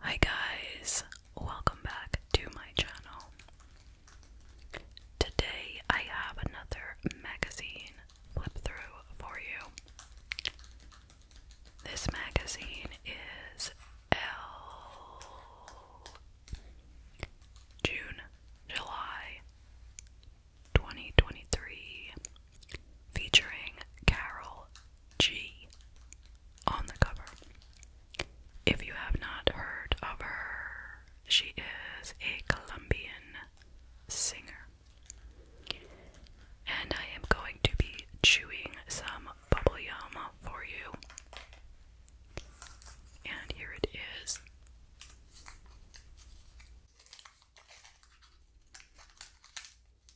Hi guys, welcome back to my channel. Today I have another magazine flip through for you. This magazine is L June, July 2023 featuring Carol G on the cover. If you have not heard of her, she is a Colombian singer. And I am going to be chewing some bubble yum for you. And here it is.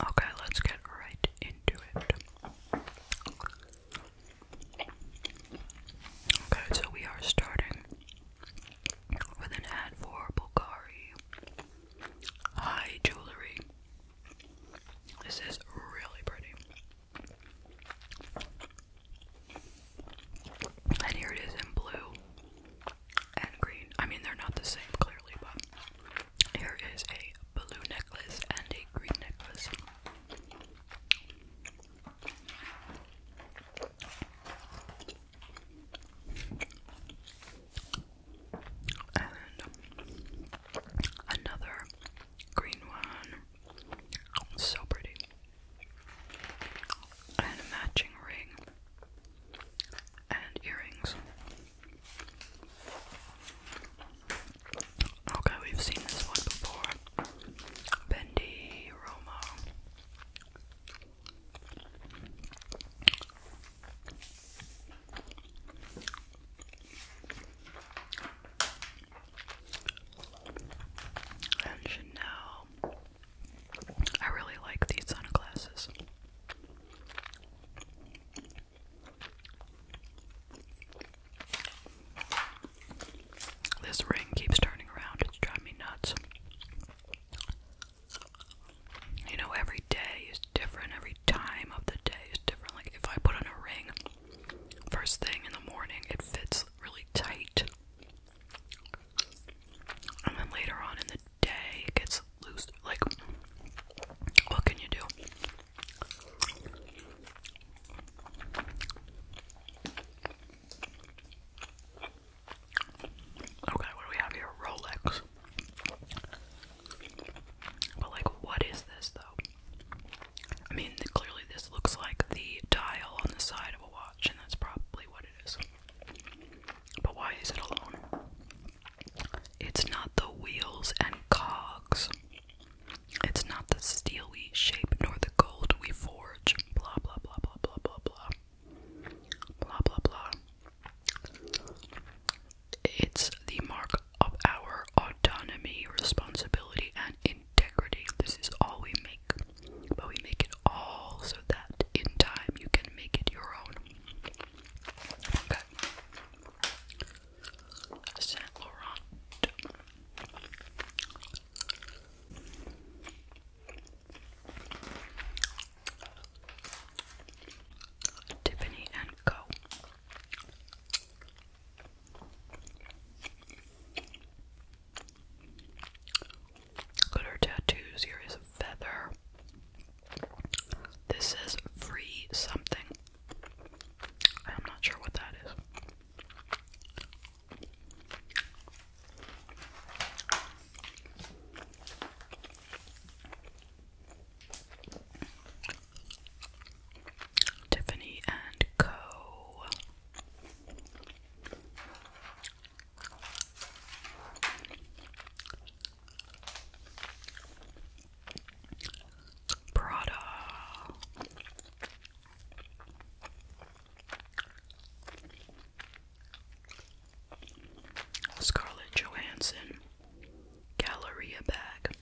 Okay, let's get right into it. Okay, so we are starting with an ad for Bulgari High Jewelry. This is really pretty. And here it is in blue and green. I mean, they're not the same, clearly, but here is a blue necklace and a green necklace. And another green one. So pretty. And a matching ring and earrings. Okay, we've seen this one before. Bendy Roma. And Chanel. I really like these sunglasses. This ring keeps turning around, it's driving me nuts. You know, every day is different, every time of the day is different. Like, if I put on a ring first thing in the morning, it fits really tight. And then later on in the day, it gets loose. Like, what can you do? Okay, what do we have here? Rolex. But, like, what is this, though? I mean, clearly, this looks like the dial on the side of a watch, and that's probably what it is. But why is it alone? It's not the wheels and cogs. It's not the steel we shape nor the gold we forge. Blah blah blah blah blah blah blah. Blah blah blah. It's the mark of our autonomy, responsibility, and integrity. This is all we make, but we make it all so that in time you can make it your own. Okay. Saint Laurent. Tiffany and Co. Glitter tattoo series of feather. This is free something. I'm not sure what that is. Tiffany and Co. Prada. Scarlett Johansson Galleria bag.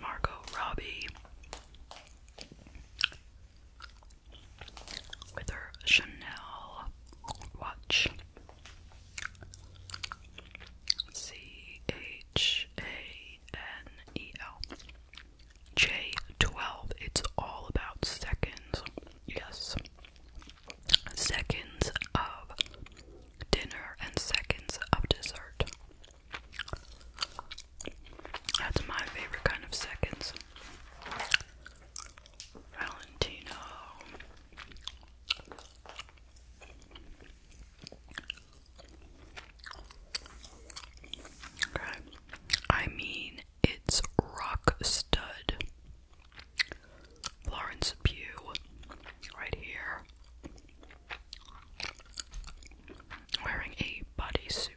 Margot Robbie with her Chanel watch. C H A N E L J12. It's all about seconds. Yes. Seconds of dinner and seconds of dessert. That's my favorite kind of seconds. Valentino. Okay. I mean, it's rock stud. Florence Pew right here, wearing a bodysuit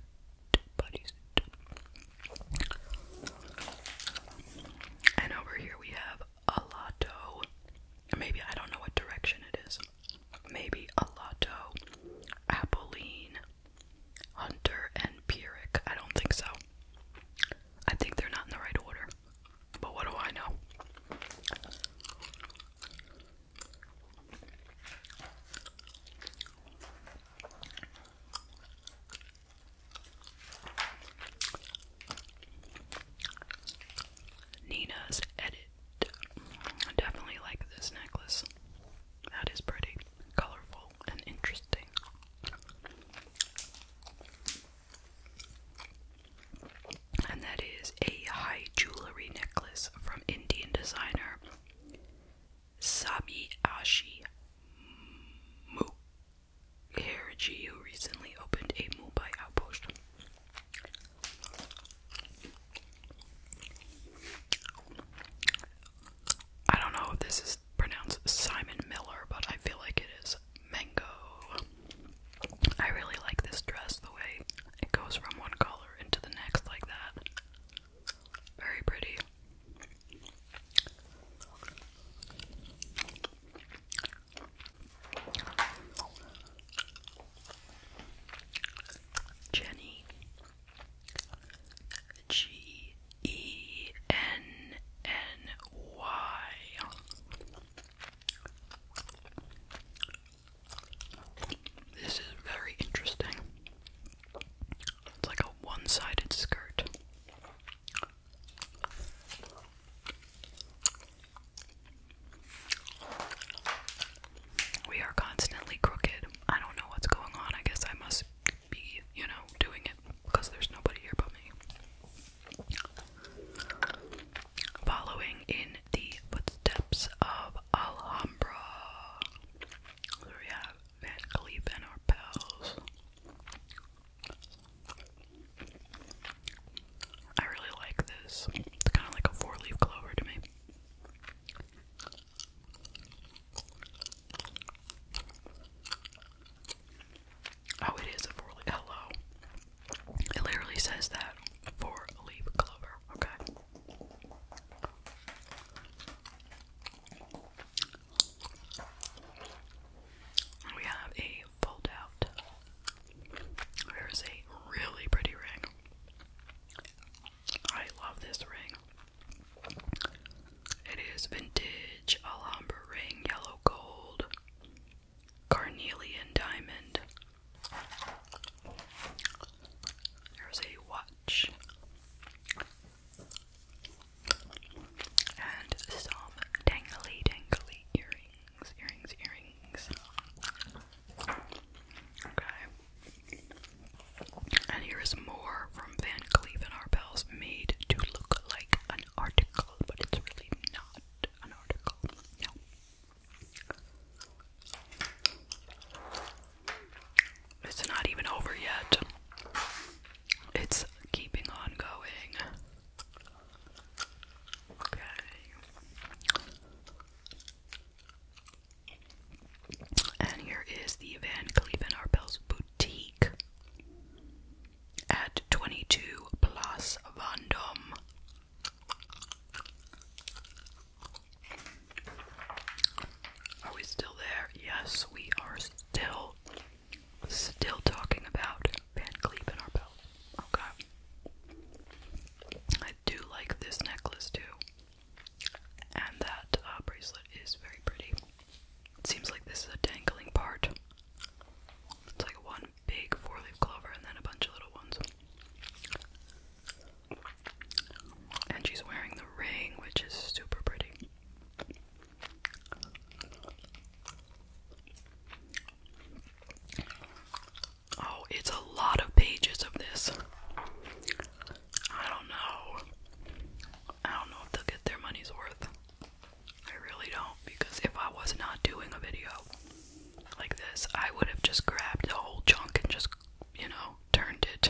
and over here we have a Maybe I don't know what direction it is. Maybe a lotto, Apolline, Hunter, and Pyrrhic. I don't think so. I think they're not in the right order. But what do I know? Nina's edit. I definitely like this necklace. That is pretty, colorful, and interesting. And that is a high jewelry necklace from Indian designer Sabiashi Mukherjee, who recently opened a Mumbai outpost. I don't know if this is pronounced Simon Miller, but I feel like it is mango. I really like this dress, the way it goes from one color into the next like that. Very pretty. Jenny G E N N Y. This is very interesting. It's like a one-sided skirt. We are constantly crooked. I don't know what's going on. I guess I must be, you know, doing it because there's nobody here but me. Following in the footsteps of Alhambra. So we have Van Cleef and our pals. I really like this. It's kind of like a four leaf clover to me. Oh, it is a four leaf. Hello. It literally says that. Four leaf clover. Okay. We have a fold There is a really pretty ring. I love this ring. It is vintage Alhambra ring, yellow gold, carnelian diamond. There's a what and some dangly, dangly earrings, earrings, earrings. Okay. And here is more from Van Cleef and Arpels, made to look like an article, but it's really not an article. No. It's not even over yet. It's keeping on going. Okay. And here is the Van Cleef & Arpels boutique at 22 Place Vendôme. Are we still there? Yes, we are still, still talking about Van Cleef and Arpels. Okay. I do like this necklace too. And that uh, bracelet is very pretty. It seems like this is a dangling part. It's like one big four leaf clover and then a bunch of little ones. And she's wearing the ring, which is super pretty. Oh, it's a lot of pages of this. I don't know. I don't know if they'll get their money's worth. I really don't, because if I was not doing a video like this, I would have just grabbed the whole chunk and just, you know, turned it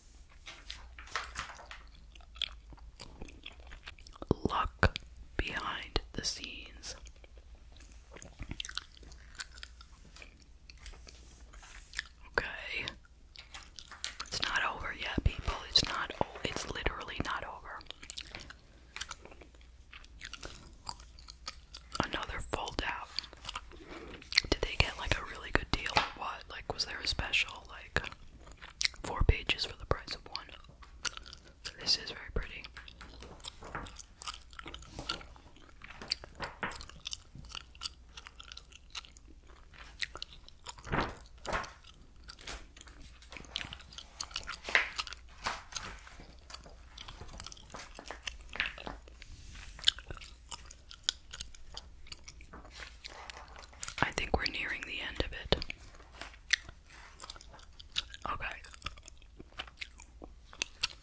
Luck behind the scenes. Okay. It's not over yet, people. It's not o it's literally not over. Another fold Did they get like a really good deal or what? Like was there a special like Four pages for the price of one. This is very pretty. I think we're nearing the end of it. Okay.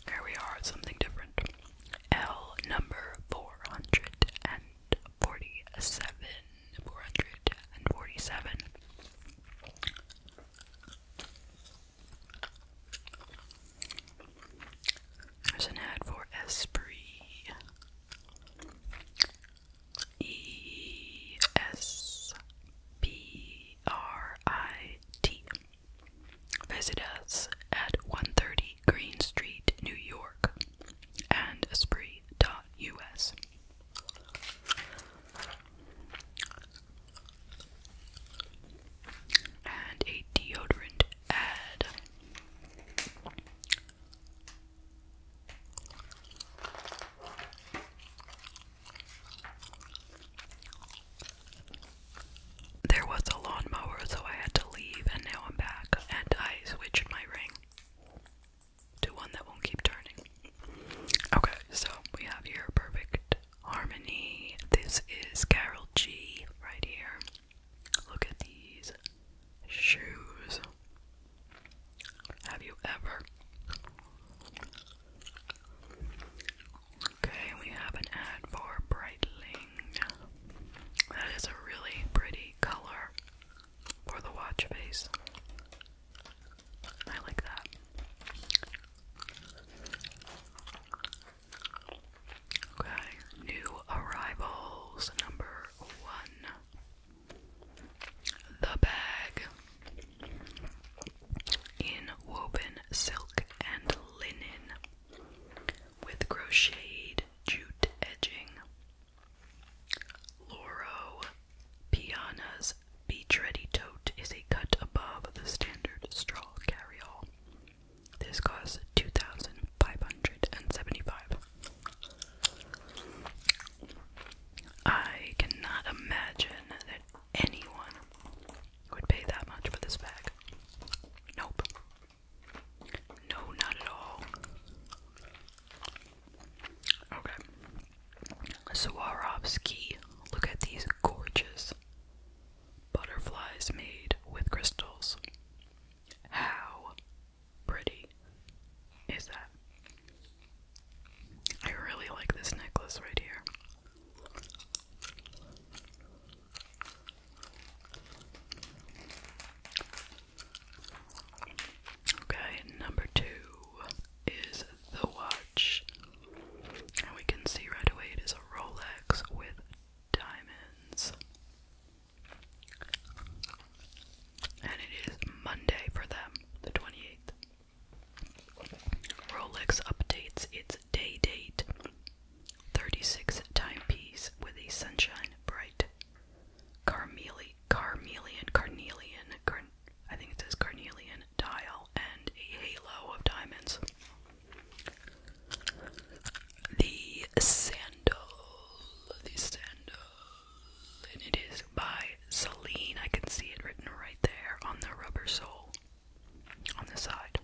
Here we are, something different. L number 447. 447. There's an ad for Esprit. E S P R I T. Visit us at 130 Green Street, New York, and Esprit.us. And a deodorant ad. There was a lawnmower, so I had to leave, and now I'm back, and I switched my ring to one that won't keep turning. Okay, so we have here perfect harmony. This is Carol G right here. Look at these shoes. Have you ever? Okay, we have an ad for Breitling. That is a really pretty color for the watch face. I like that. Okay, new arrivals number one. The bag in woven silk and linen with crocheted jute edging. Loro Piana's beach ready tote is a cut above the standard straw carryall. This costs two thousand five hundred and seventy-five. I cannot imagine that anyone would pay that much for this bag. Nope. No, not at all. Okay. Swarovski. Look at these gorgeous butterflies made with crystals. How pretty is that? I really like this necklace right here. Okay, number two is the watch. And we can see right away it is a Rolex with diamonds. And it is Monday for them, the 28th. Rolex updates its day date 36 timepiece with a sunshine bright carmeli carmelian, carnelian, I think it says carnelian dial and a halo of diamonds. The sandal, the sandal, and it is by Celine. I can see it written right there on the rubber sole on the side.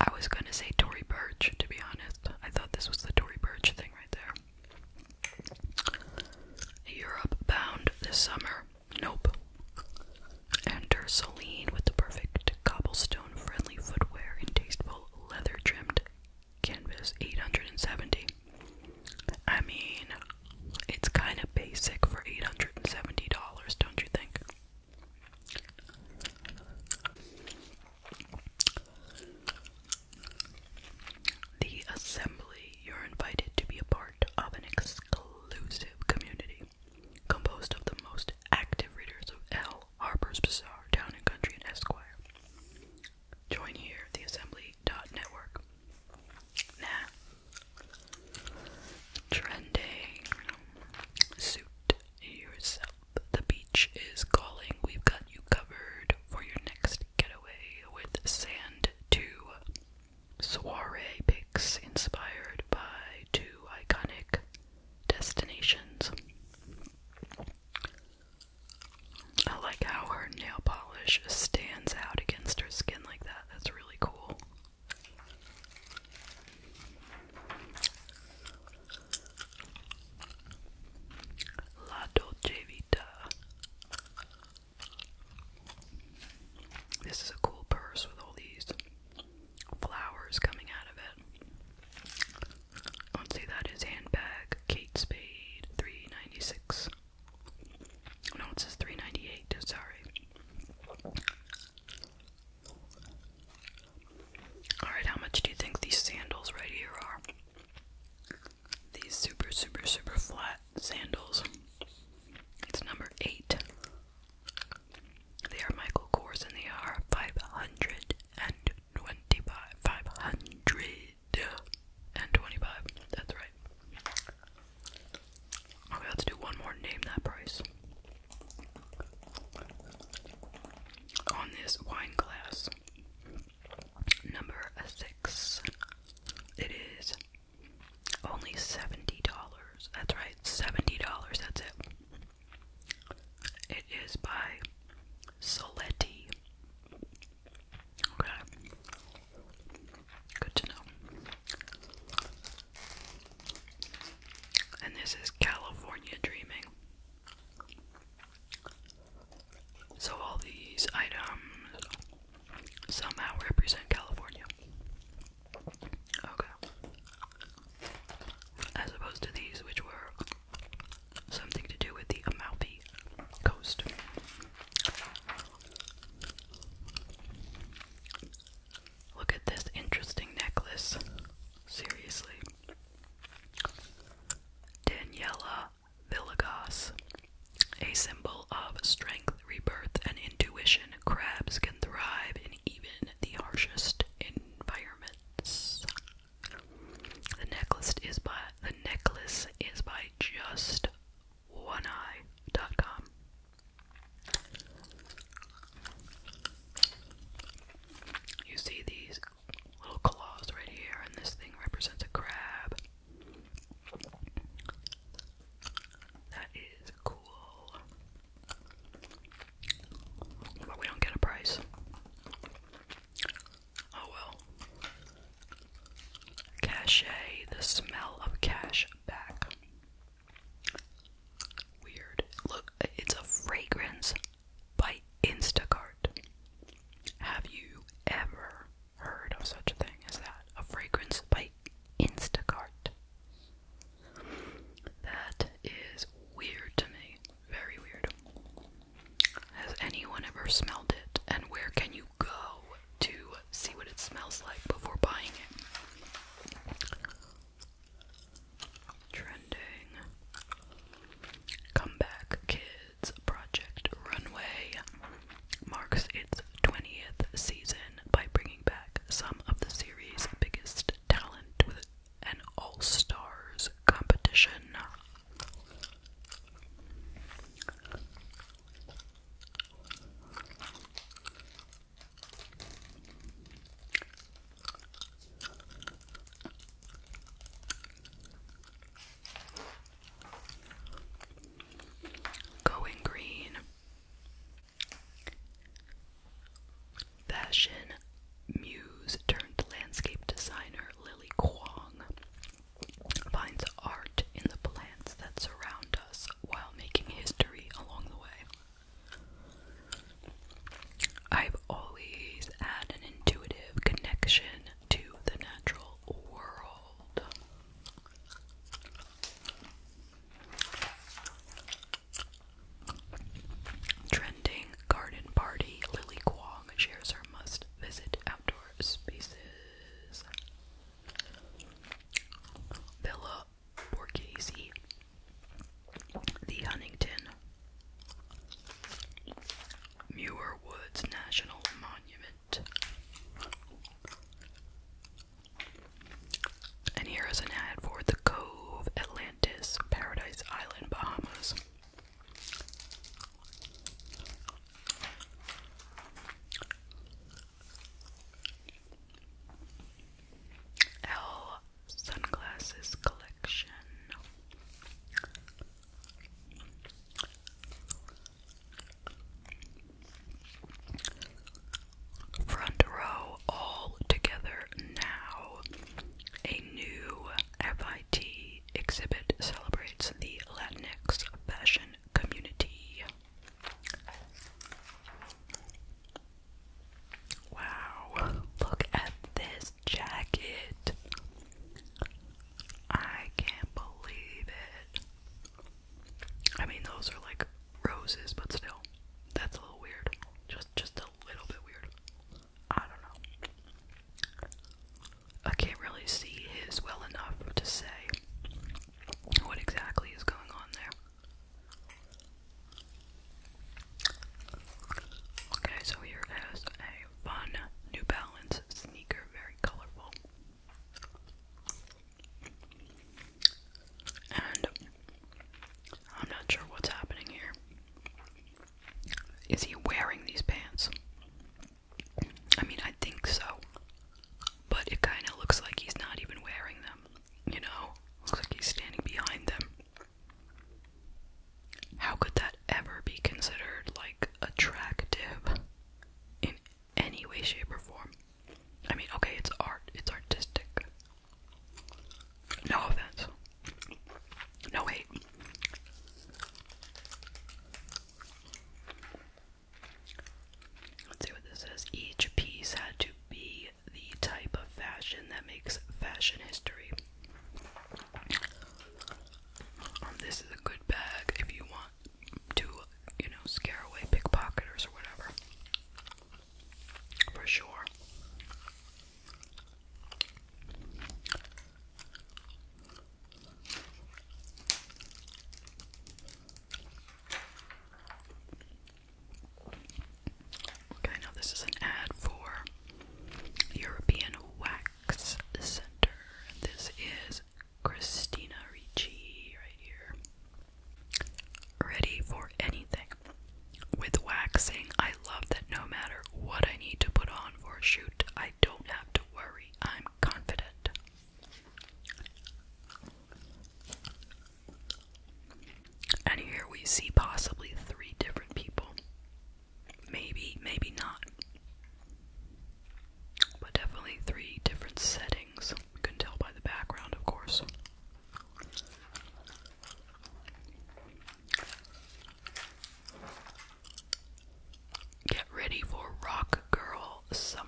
I was gonna say Tory Burch, to be honest. I thought this was the Tory Burch thing right there. Europe bound this summer. Nope. Enter Celine with the perfect cobblestone friendly footwear and tasteful leather trimmed Canvas 870. I mean, it's kind of basic for $870, don't you think? The assembly you're invited to be a part of an exclusive community composed of the most active readers of L. Harper's Bazaar, Town and Country, and Esquire. Join here, the assembly dot network. Nah. Trending. Suit yourself. The beach is calling. We've got you covered for your next getaway with Sand 2 soiree pics inspired by two iconic destinations. I like how her nail polish stands out against her skin like that. That's really cool. La Dolce Vita. This is a cool purse with all these flowers coming out of it. Let's see, that is handbag, Kate Spade, 396. No, it says 398, sorry. Alright, how much do you think these sandals right here are? These super, super, super flat sandals. It's number 8. They are Michael Kors and they are 525. 500 and 25. That's right. Okay, oh, let's do one more. Name that price. On this wine glass, number six, it is only $70. That's right, $70. That's it. It is by Soletti. Okay. Good to know. And this is California Dreaming. So all these items somehow represent California. Okay. As opposed to these, which were Something to do with the Amalfi Coast. Look at this interesting necklace. Seriously. Daniela Villagos. A symbol of strength, rebirth, and intuition, crabs can thrive in even the harshest environments. The necklace is by the necklace is by just one eye.com. You see these little claws right here, and this thing represents a crab. That is cool. But we don't get a price. Oh well. Cachet, the smell of cash back. Weird. Look, it's a fragrance by Instacart. Have you ever heard of such a thing as that? A fragrance by Instacart. That is weird to me. Very weird. Has anyone ever smelled it? And where can you go to see what it smells like before buying it? Trending. Comeback Kids Project Runway marks its 20th season by bringing back some of the series' biggest talent with an all stars competition. Going green. Fashion muse turned landscape designer Lily Kwong finds art in the plants that surround us while making history along the way. I've always had an intuitive connection to the natural world. Trending garden party Lily Kwong shares her must visit outdoor spaces. Villa Borghese, the Huntington Muir Woods National Monument. And here is an ad for the Cove, Atlantis, Paradise Island, Bahamas. L Sunglasses Collection. Front row all together now. A new have MIT exhibit celebrates the Latinx fashion community. Wow, look at this jacket. I can't believe it. I mean, those are like roses, but still, that's a little weird. Just, just a little bit weird. I don't know. I can't really see his well enough to say what exactly is going on there. Okay, so here is a fun New Balance sneaker, very colorful. And I'm not sure what's happening here. Is he wearing these pants? I mean, I think so. But it kind of looks like he's not even wearing them, you know? Looks like he's standing behind them. How could that ever be considered, like, attractive in any way, shape, or form? I mean, okay, it's art, it's artistic. No offense. No hate. Let's see what this says. Each piece had to be the type of fashion that makes fashion history. Um, this is a good bag if you want to, you know, scare away pickpocketers or whatever. For sure. Okay, now this is an ad for European Wax Center. This is Christina Ricci right here. Ready for anything. With waxing, I love that no matter what I need to put on for a shoot, I don't have to worry. I'm confident. And here we see possibly three different people. Maybe, maybe not. But definitely three different settings. You can tell by the background, of course. Get ready for Rock Girl Summer.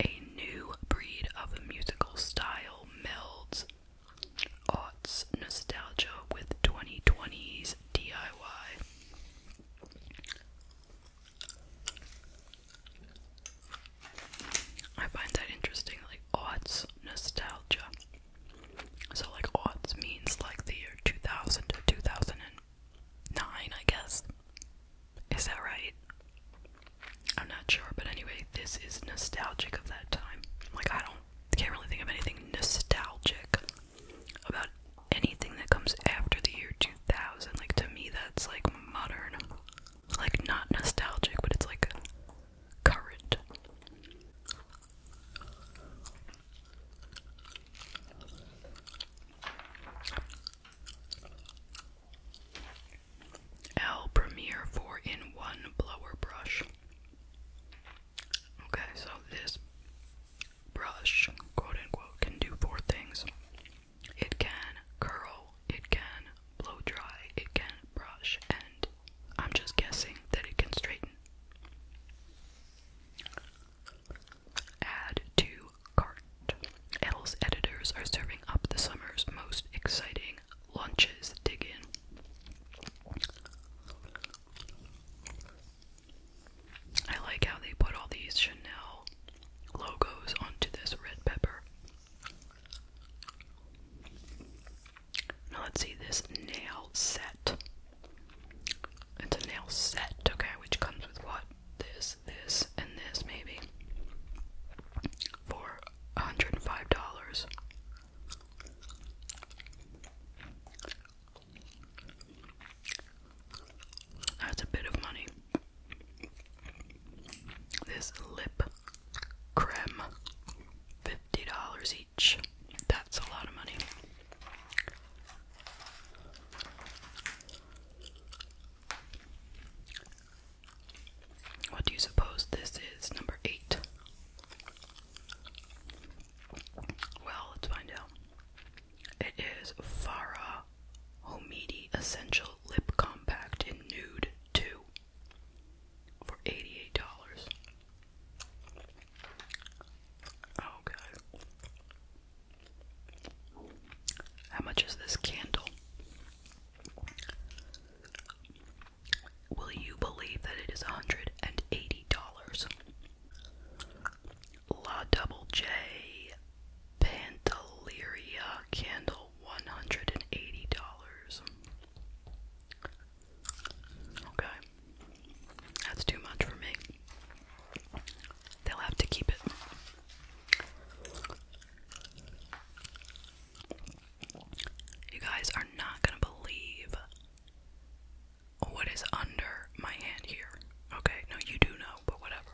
A new breed of musical style melds nostalgia with 2020s DIY. I find that interesting, like nostalgia. So, like, aughts means like the year 2000 to 2000 nine, I guess. Is that right? I'm not sure, but anyway, this is nostalgic of that time. Like, I don't, can't really think of anything nostalgic about anything that comes after the year 2000. Like, to me, that's like modern. Like, not nostalgic, but it's like current. L Premier 4 in 1 blower brush. Okay, so this brush, quote unquote, can do four things it can curl, it can blow dry, it can brush, and I'm just guessing that it can straighten. Add to cart. Edel's editors are serving up the summer's most exciting lunches. Dig in. I like how they put all these Chanel logos onto this red pepper. Now let's see this nail set. It's a nail set, okay, which comes with what? This, this, and this, maybe. For $105. That's a bit of money. This lip creme, $50 each. That's a lot of money. What do you suppose this is? Number eight. Well, let's find out. It is Farah Homidi Essential Lip Compact in Nude 2 for $88. Okay. How much is this candle? Will you believe that it is $180? La Double J Pantaleria candle $180. Okay. That's too much for me. They'll have to keep it. You guys are not gonna believe what is under my hand here. Okay, no, you do know, but whatever.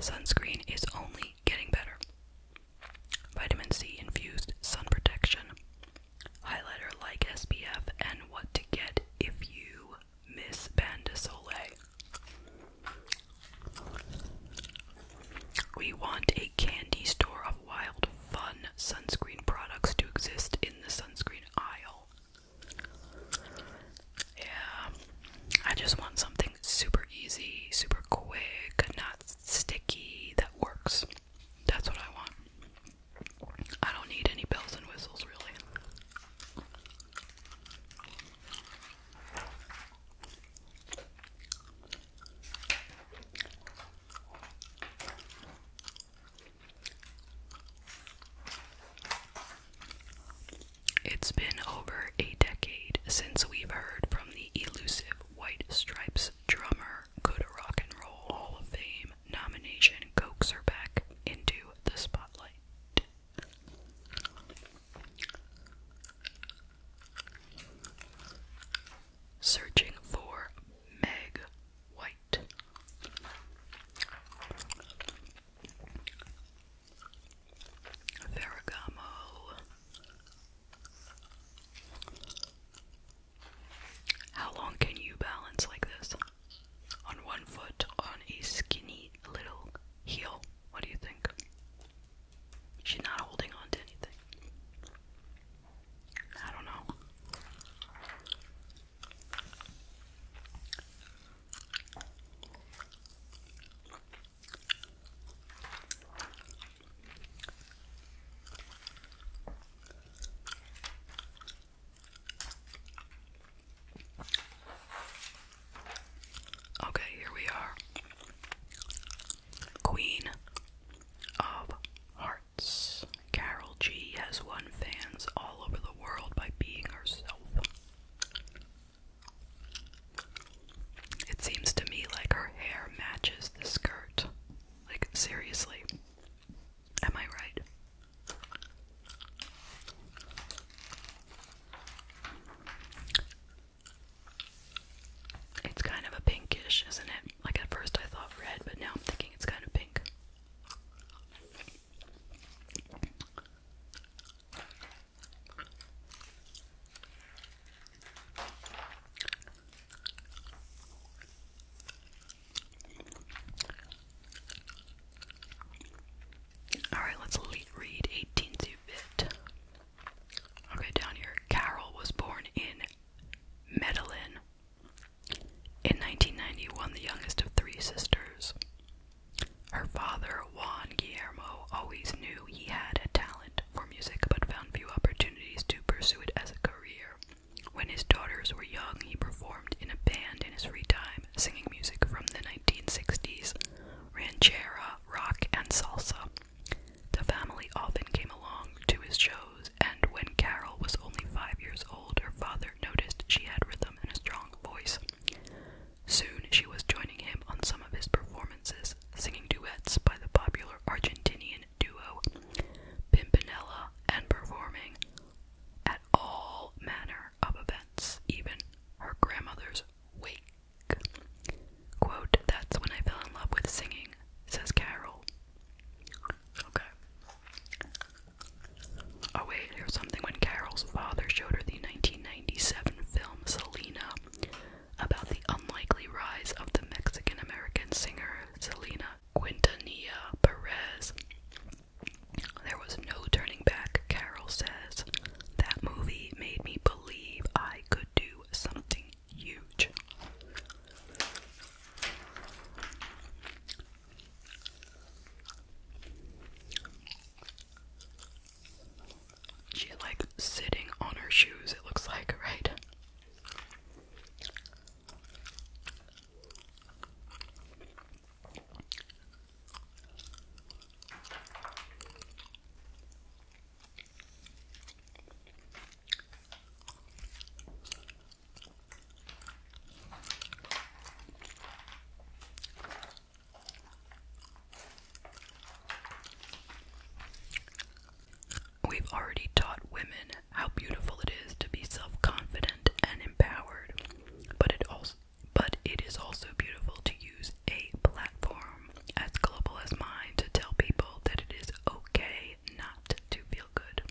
Sunscreen is only getting better. Vitamin C infused sun protection, highlighter like SPF, and what to get if you Miss Bandasole, We want a candy store of wild fun sunscreen products to exist in the sunscreen aisle. Yeah, I just want something super easy, super quick, not sticky, that works. That's what I want. I don't need any bells and whistles, really. It's been over a decade since we've heard from the elusive White Stripes drummer. Could a Rock and Roll Hall of Fame nomination coax her back into the spotlight? Searching for Meg White. Ferragamo. How long can you balance like this? on one foot on a skinny little heel. What do you think? She's not holding on to anything. I don't know. Okay, here we are. Queen of Hearts. Carol G has won fans all over the world by being herself. It seems to me like her hair matches the skirt. Like, seriously. Am I right? It's kind of a pinkish, isn't it? Like at first I thought red, but now I'm thinking it's kind of pink. Alright, let's read 18th bit. Okay, down here. Carol was born in Medellin in 1991, the youngest of three sisters. Her father, Juan Guillermo, always knew he had a talent for music but found few opportunities to pursue it as a career. When his daughters were young, he performed in a band in his free time singing music from the 1960s, ranchera, rock, and salsa. The family often came along to his shows, and when Carol was only five years old, her father noticed she had rhythm and a strong voice. Soon she was joining him on some of his performances, singing duets by the popular Argentinian duo Pimpinella and performing at all manner of events, even her grandmother's wake. that's when I fell in love with singing, says Carol. Okay. Oh, wait, here's something when Carol's father showed her the 1997 film Selena about the unlikely rise of the Mexican American singer Selena Quintanilla Perez. There was no turning back, Carol says. That movie made me believe I could do something huge. She's like sitting on her shoes, it looks like, right? We've already taught women how beautiful it is to be self confident and empowered, but it also but it is also beautiful to use a platform as global as mine to tell people that it is okay not to feel good.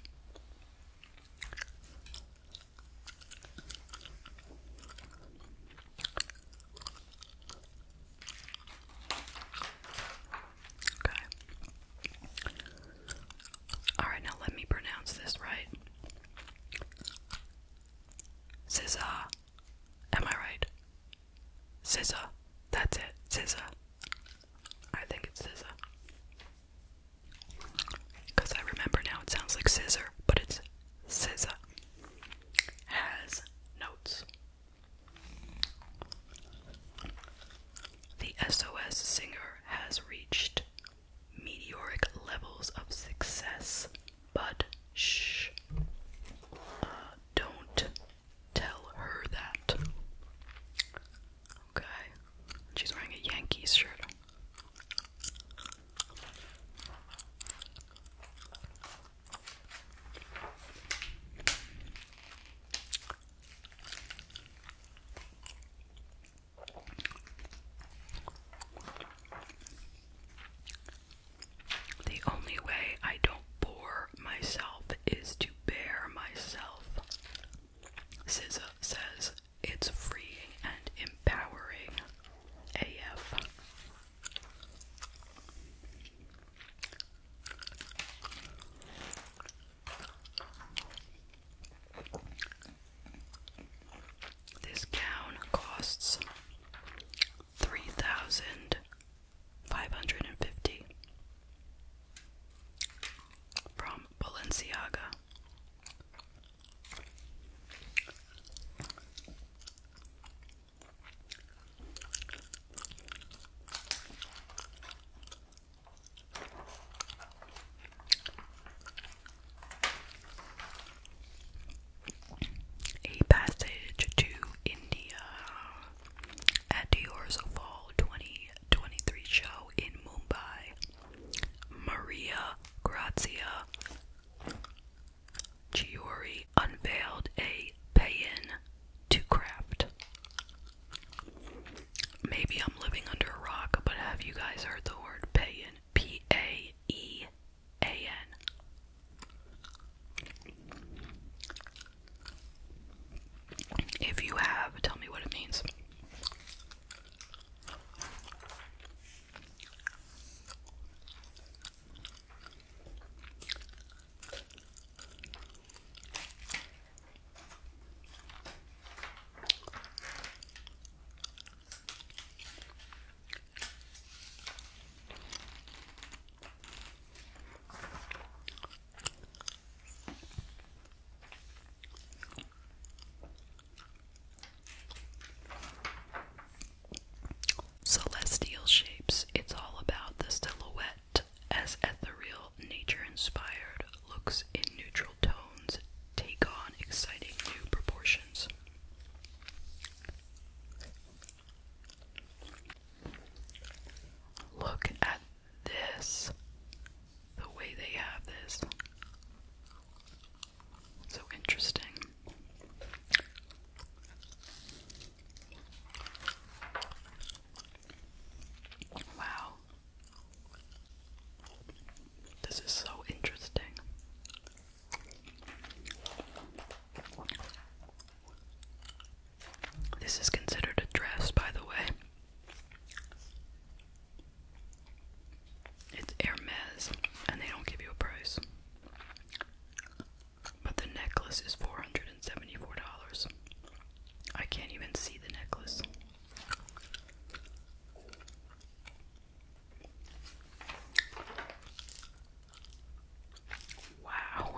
Okay. Alright, now let me pronounce this right. Scissor. Am I right? Scissor. That's it. Scissor. I think it's scissor. Because I remember now it sounds like scissor, but it's scissor. Has notes. The SOS singer has reached meteoric levels of success, but shh, uh, don't tell her that. Okay, she's wearing a Yankees shirt. The only way I don't bore myself is to bear myself. SZA says it's freeing and empowering AF. This gown costs three thousand five hundred and fifty from Balenciaga. A passage to India at Dior's Fall 2023 show in Mumbai. Maria Grazia Giori unveiled a pay to craft. Maybe I'm living under a rock, but have you guys heard the word pay-in? A E a-N. If you have, tell me what it means. Celestial shapes, it's all about the silhouette as ethereal, nature inspired, looks in neutral tones, take on exciting new proportions. Look at this. The way they have this. So interesting. Wow. This is so interesting. This is considered a dress, by the way. It's Hermes, and they don't give you a price. But the necklace is $474. I can't even see the necklace. Wow.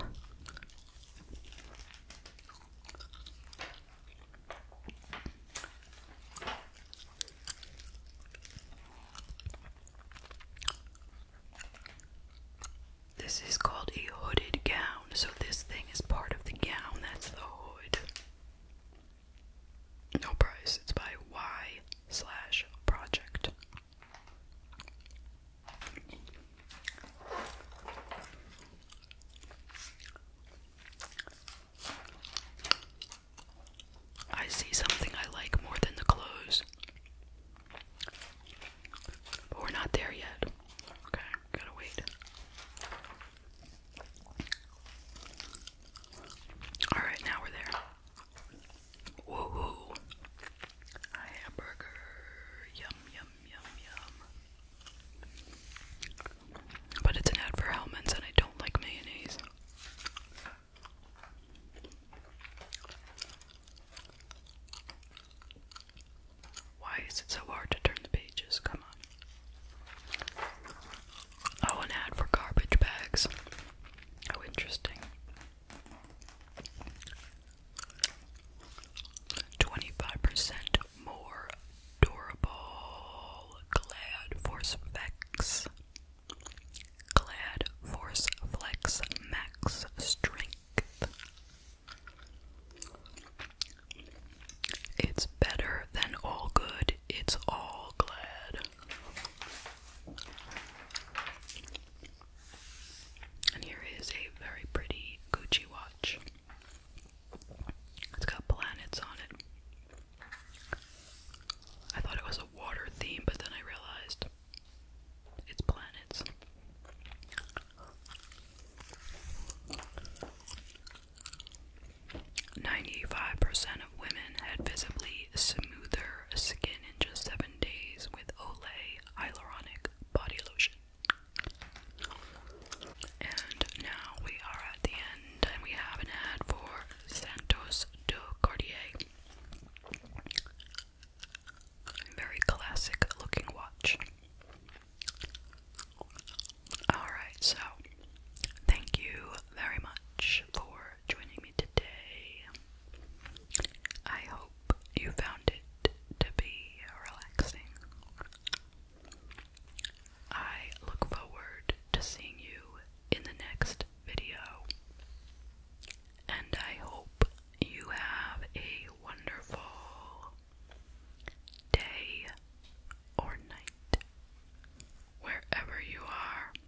This is called a hooded gown, so this thing is part of the gown, that's the hood. No price, it's by Y slash project. I see something I like more than the clothes. But we're not there yet. Okay, gotta wait. Alright, now we're there. Woohoo! A hamburger. Yum, yum, yum, yum. But it's an ad for Hellman's and I don't like mayonnaise. Why is it so hard to turn the pages? Come on. Oh, an ad for garbage bags. Oh, interesting. 25% more durable Glad Force Vex. Glad Force Flex Max Strength. It's better than all good. It's all glad. And here is a very pretty Gucci watch. It's got planets on it. I thought it was a water theme, but then I realized it's planets. Ninety-five percent of women had visibly smoother skin in just seven days with Olay Hyaluronic Body Lotion. And now we are at the end, and we have an ad for Santos de Cartier. Very classic looking watch. Alright, so thank you very much for joining me today. I hope you found it to be relaxing. I look forward to seeing you in the next video, and I hope you have a wonderful day or night wherever you are.